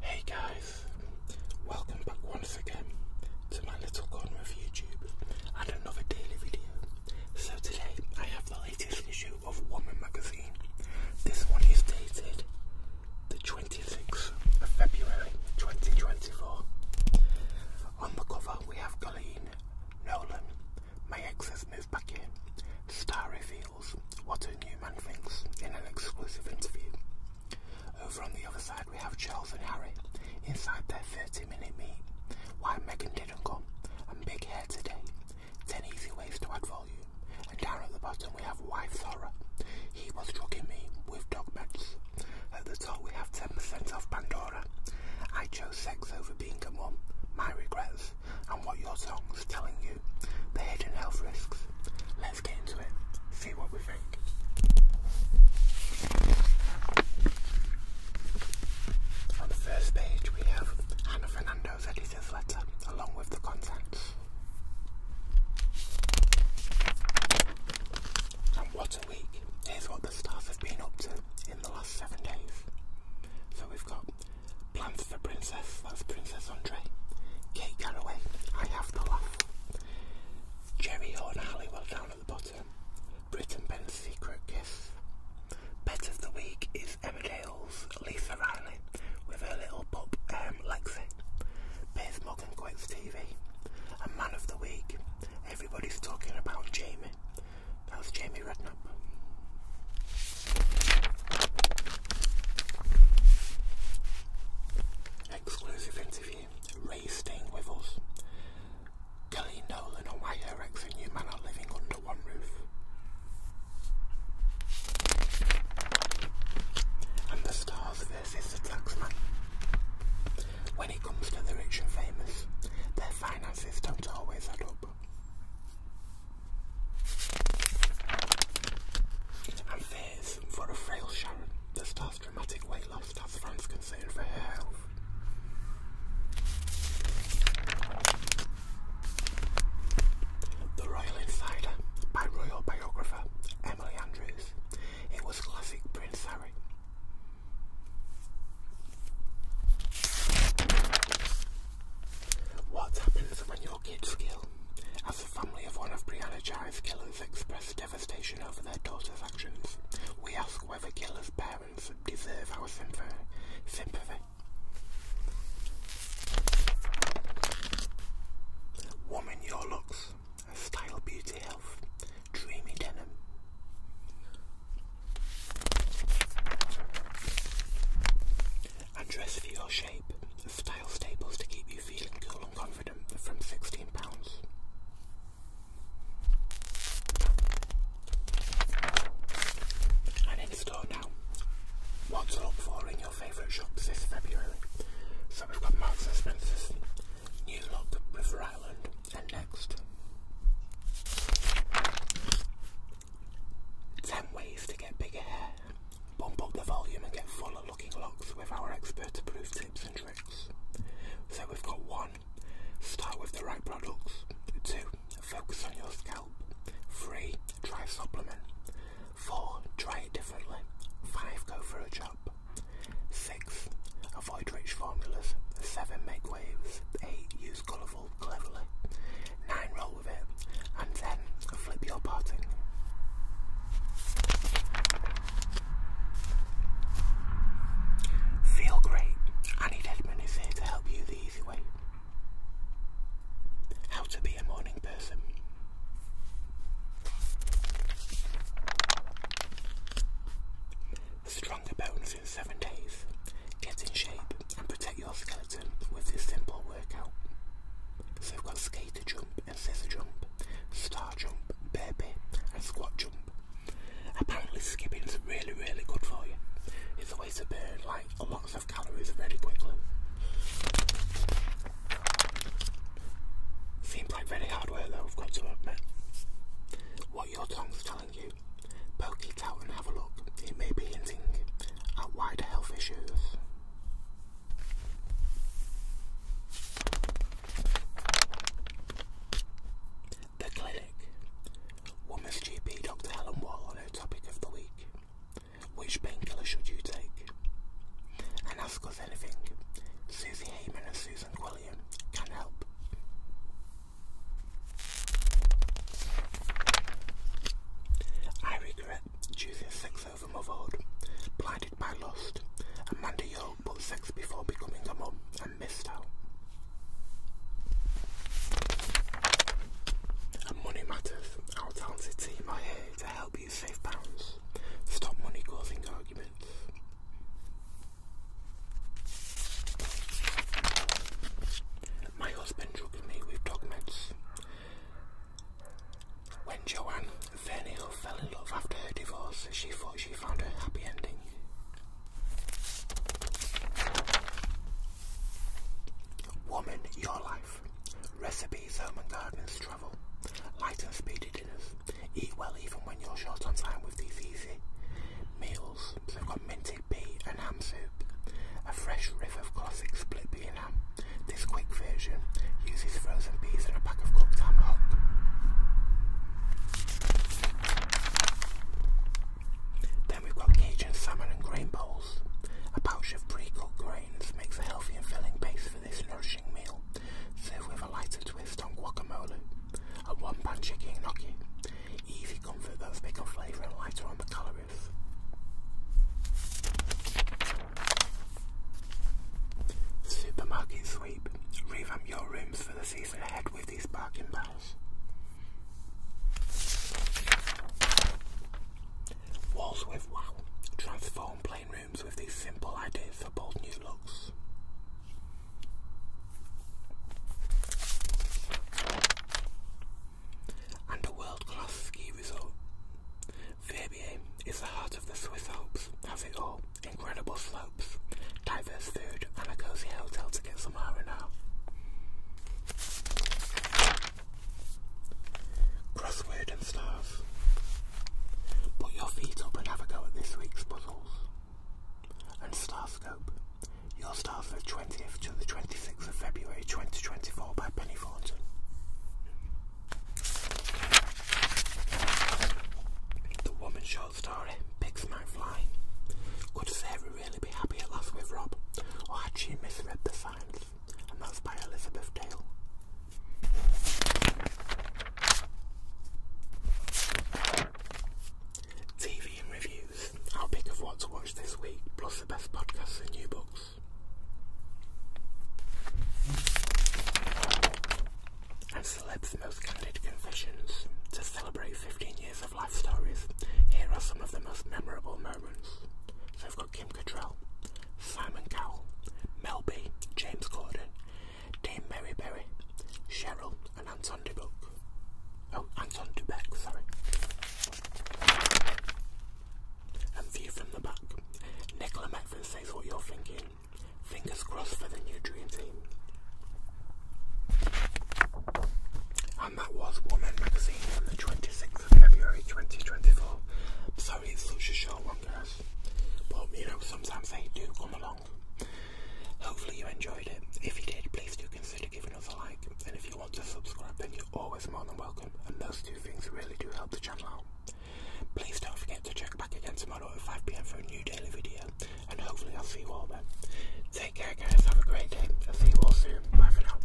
Hey guys, welcome back once again to my little corner of YouTube and another daily video. So today I have the latest issue of Woman magazine. This one is dated the 26th of February 2024. On the cover we have Colleen Nolan my ex has moved back in. Star reveals what a new man thinks in an exclusive interview. Over on the other side, we have Charles and Harry inside their 30 minute meet. Why Megan didn't come, I'm Big Hair today. 10 easy ways to add volume. And down at the bottom, we have wife Horror. He was drugging me with dog meds. At the at we have 10% off Pandora. I chose sex over being a mum, my regrets, and what your song's telling you, the hidden health risks. Let's get into it, see what we think. On the first page, we have Hannah Fernando's editor's letter, along with the contents. And what a week! Here's what the staff have been up to in the last seven days. So we've got Plans for Princess, that's Princess Andre, Kate Garraway, I Have to Laugh, Jerry Horn Halliwell down at the bottom, Brit and Ben's Secret Kiss. Pet of the week is Emma Emmerdale's Lisa Riley with her little pup um, Lexi. Piers Morgan Quits TV. A Man of the Week, everybody's talking about Jamie. That was Jamie Redknapp. Exclusive interview, Ray staying with us. Kelly Nolan and why her and new man are living under one roof. And the stars versus the taxman. When it comes to the rich and famous, their finances don't always add up. And fears for a frail Sharon that starts dramatic weight loss has France concerned for her health. The Royal Insider by royal biographer Emily Andrews. It was classic Prince Harry. What happens when your kids kill? As the family of one of Brianna Jai's killers express devastation over their daughter's actions, we ask whether killers' parents deserve our sympathy. Woman Your Looks, Style, Beauty, Health dreamy denim. And dress for your shape. Style staples to keep you feeling cool and confident from £16. And in store now. What to look for in your favourite shops this February. So we've got Marks & Spencer's New Look, River Island, and next. 10 ways to get bigger hair. Bump up the volume and get fuller looking locks with our expert approved tips and tricks. So we've got one, start with the right products. Two, focus on your scalp. Three, try a supplement. Four, try it differently. Five, go for a job. 6. Avoid rich formulas. 7. Make waves. 8. Use colourful cleverly. 9. Roll with it. And 10. Flip your parting. Feel great. Annie Deadman is here to help you the easy way. How to be a morning person stronger bones in seven days. Get in shape and protect your skeleton with this simple workout. So we've got skater jump and scissor jump, star jump, burpee and squat jump. Apparently skipping is really really good for you. It's always a way to burn like lots of calories very quickly. Seems like very hard work though, I've got to admit. What your tongue's telling you, poke it out and have a look. It may be hinting at wider health issues. The Clinic. Woman's GP Dr. Helen Wall on her topic of the week. Which painkiller should you take? And ask us anything. Susie Heyman and Susie Susan William help. I regret choosing sex over motherhood, blinded by lust. Amanda Yo put sex before becoming a mum and missed out. And money matters. Our talented team are here to help you save pounds. Stop money causing arguments. My husband drugged me with dog meds. When Joanne Verniel fell in love after her divorce, she thought she found her happy ending. Woman, your life. Recipes, home and gardens, travel. Light and speedy dinners. Eat well even when you're short on time with these easy meals. So I've got minted pea and ham soup. A fresh riff of classic split pea and ham. This quick version uses frozen peas and a pack of cooked ham Then we've got Cajun salmon and grain bowls. A pouch of pre-cooked grains makes a healthy and filling base for this nourishing refreshing with a lighter twist on guacamole, a one-pan chicken gnocchi. Easy comfort that's big flavour and lighter on the calories. Supermarket sweep. Revamp your rooms for the season ahead with these bargain bells. Walls with wow. Transform plain rooms with these simple ideas for bold new looks. And a world-class ski resort. Verbier is the heart of the Swiss Alps, has it all, incredible slopes, diverse food and a cosy hotel to get some R&R. Crossword Put your feet up and have a go at this week's puzzles. And Starscope. Yours starts the 20th to the 26th of February 2024 by Penny Thornton. The Woman Short Story, Pigs Might Fly. Could Sarah really be happy at last with Rob, or had she misread the signs? And that's by Elizabeth Dale. TV and reviews. i pick of what to watch this week, plus the best podcasts and new books. Celeb's Most Candid Confessions. To celebrate 15 years of life stories, here are some of the most memorable moments. So I've got Kim Cattrall, Simon Cowell, Mel B, James Corden, Dame Mary Berry, Cheryl, and Anton Dubek. Oh, Anton Dubek, sorry. And view from the back. Nicola Metford says what you're thinking. Fingers crossed for the new dream And that was Woman Magazine on the 26th of February 2024. So sorry, it's such a short one, guys. But you know, sometimes they do come along. Hopefully, you enjoyed it. If you did, please do consider giving us a like. And if you want to subscribe, then you're always more than welcome. And those two things really do help the channel out. Please don't forget to check back again tomorrow at 5 pm for a new daily video. And hopefully, I'll see you all then. Take care, guys. Have a great day. i see you all soon. Bye for now.